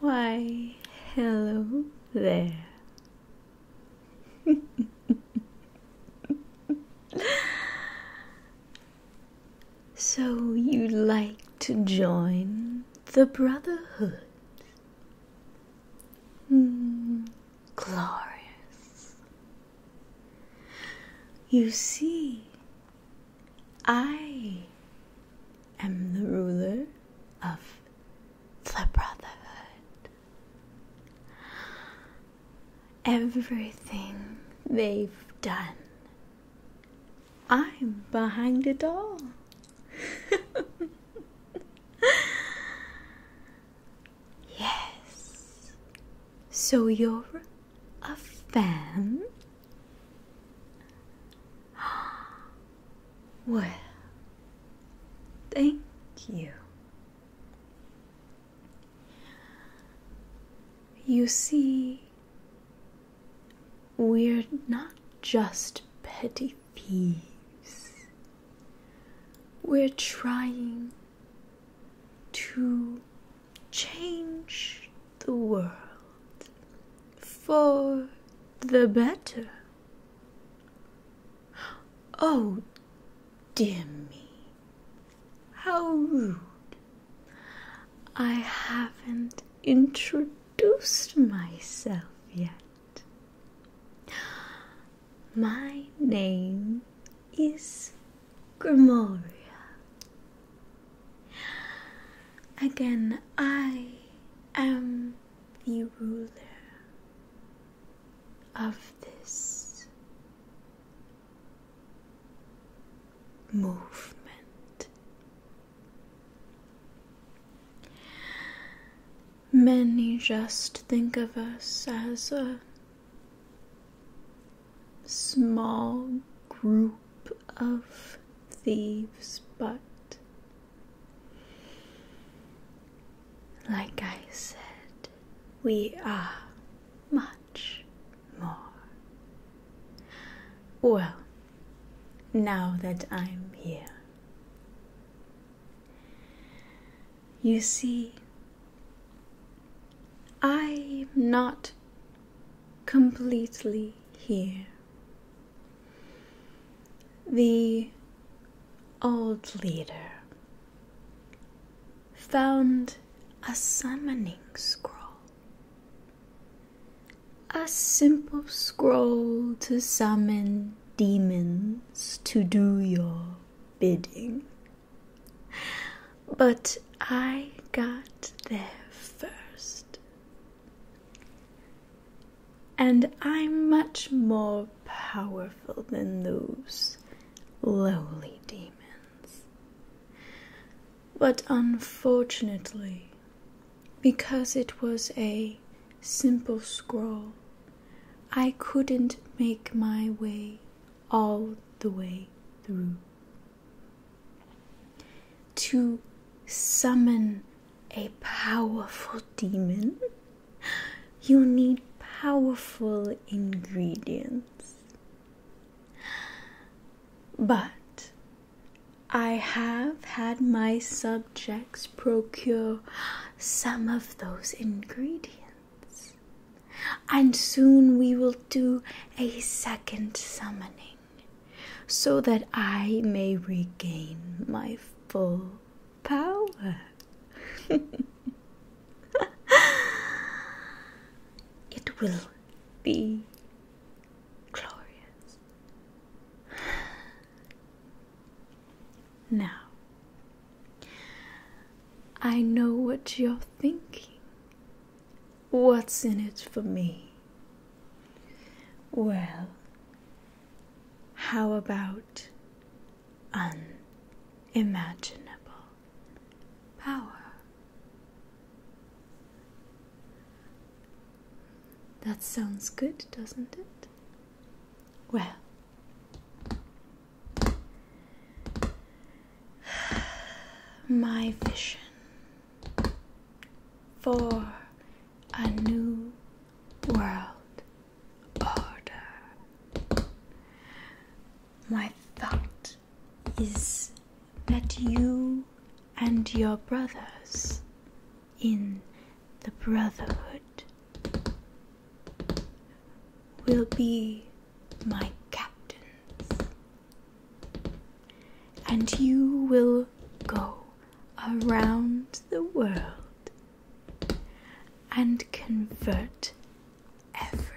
Why, hello there. so, you'd like to join the Brotherhood? Mm, glorious. You see, I am the ruler of the Brotherhood. Everything they've done, I'm behind it all. yes, so you're a fan? Well, thank you. You see, we're not just petty thieves. We're trying to change the world for the better. Oh, dear me, how rude! I haven't introduced myself yet. My name is Grimoria. Again, I am the ruler of this movement. Many just think of us as a small group of thieves, but like I said, we are much more. Well, now that I'm here, you see, I'm not completely here. The old leader found a summoning scroll. A simple scroll to summon demons to do your bidding but I got there first. And I'm much more powerful than those lowly demons. But unfortunately, because it was a simple scroll, I couldn't make my way all the way through. To summon a powerful demon, you need powerful ingredients. But I have had my subjects procure some of those ingredients, and soon we will do a second summoning so that I may regain my full power. it will be glorious. Now, I know what you're thinking. What's in it for me? Well, how about unimaginable power? That sounds good, doesn't it? Well, my vision for a new world order. My thought is that you and your brothers in the Brotherhood will be my captains and you will go around the world and convert everyone.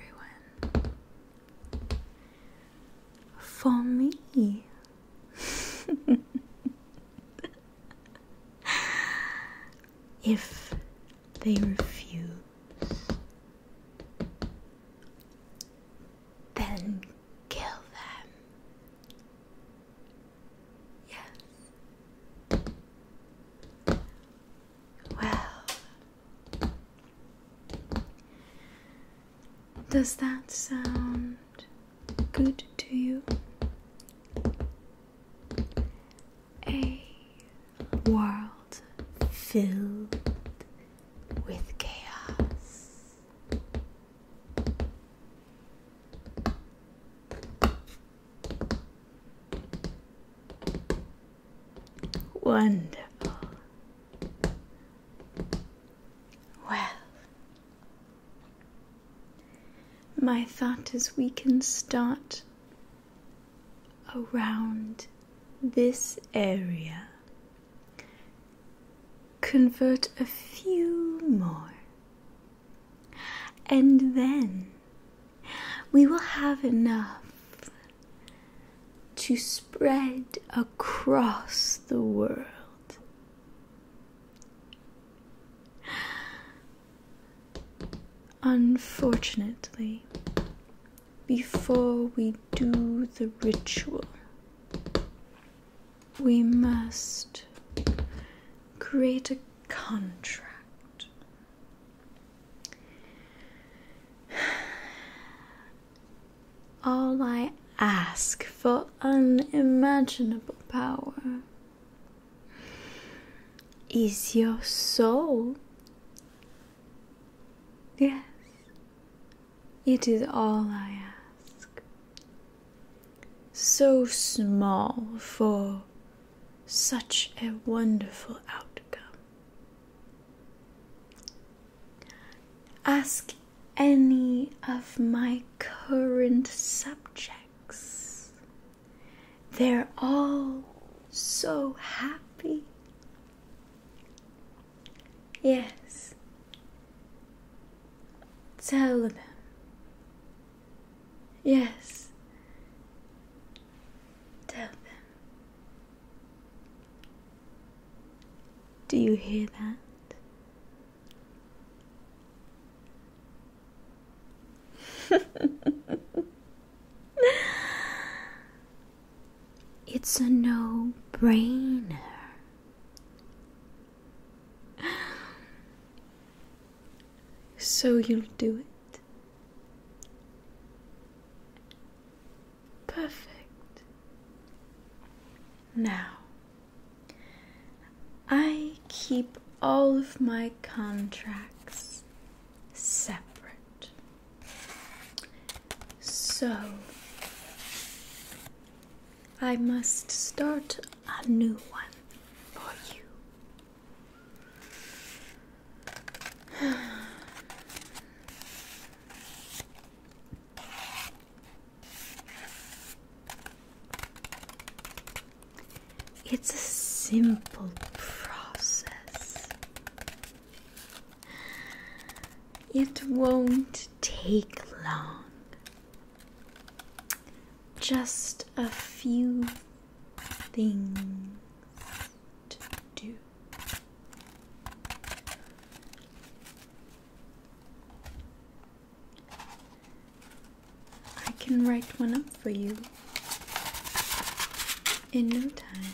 For me. if they refuse, then kill them. Yes. Well, does that sound good to you? A world filled with chaos. Wonderful. Well, my thought is we can start around this area Convert a few more. And then we will have enough to spread across the world. Unfortunately, before we do the ritual, we must create a contract. All I ask for unimaginable power is your soul. Yes, it is all I ask. So small for such a wonderful outcome. Ask any of my current subjects. They're all so happy. Yes. Tell them. Yes. Tell them. Do you hear that? it's a no brainer. So you'll do it. Perfect. Now, I keep all of my contracts separate. So, I must start a new one for you. It's a simple process. It won't take long. Just a few things to do. I can write one up for you in no time.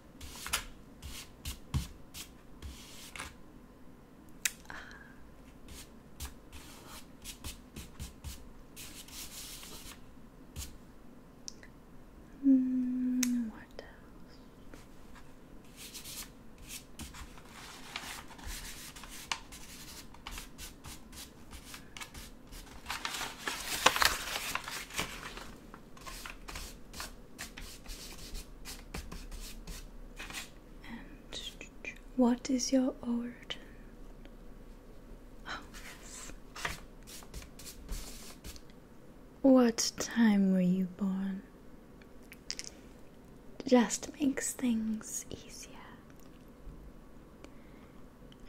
Uh, mm, what else? And what is your origin? Oh, yes. What time were you born? Just makes things easier.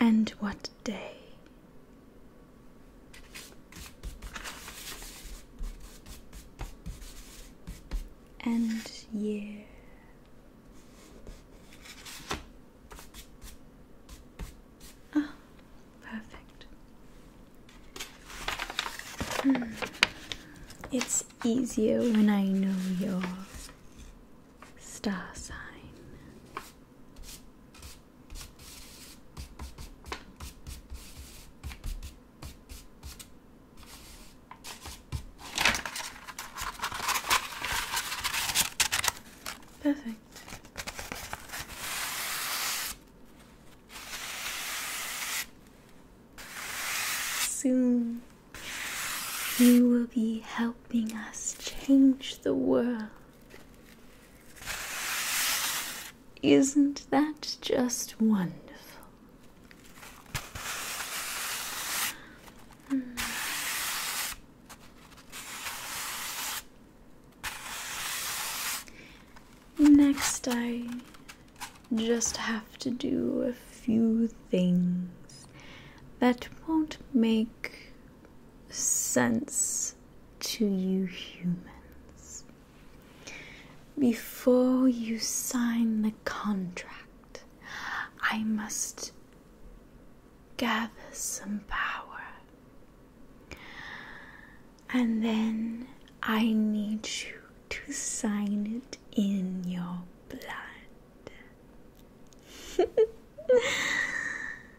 And what day and yeah, ah, Oh, perfect. Hmm. It's easier when I know your star sign. Perfect. Soon you will be helping us change the world. Isn't that just wonderful? Hmm. Next, I just have to do a few things that won't make sense to you humans. Before you sign the contract, I must gather some power. And then I need you to sign it in your blood.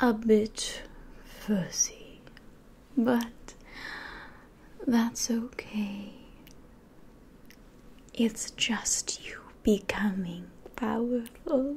a bit fussy, but that's okay. It's just you becoming powerful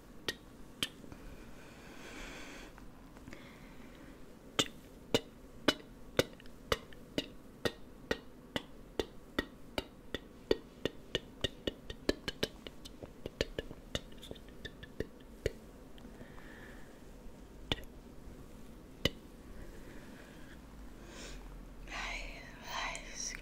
I was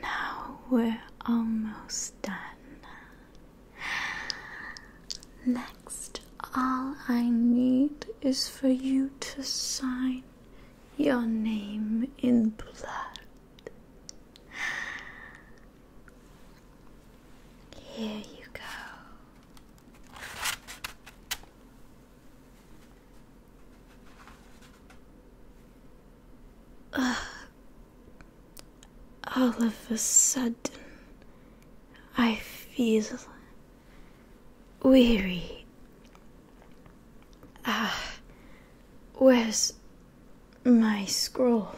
Now we're almost done. Next, all I need is for you to sign your name in blood. Here you go all of a sudden I feel weary. Ah, where's my scroll?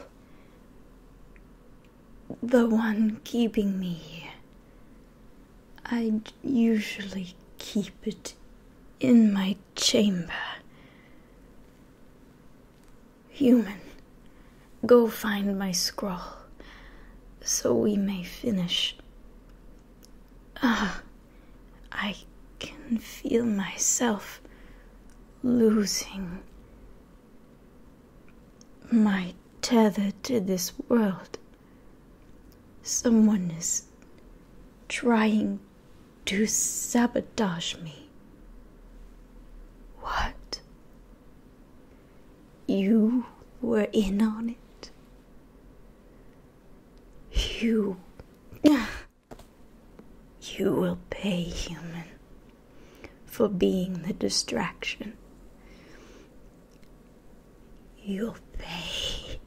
The one keeping me here. I usually keep it in my chamber. Human, go find my scroll so we may finish. Ah, I can feel myself losing my tether to this world. Someone is trying to sabotage me. What? You were in on it? You. You will pay, human, for being the distraction. You'll pay.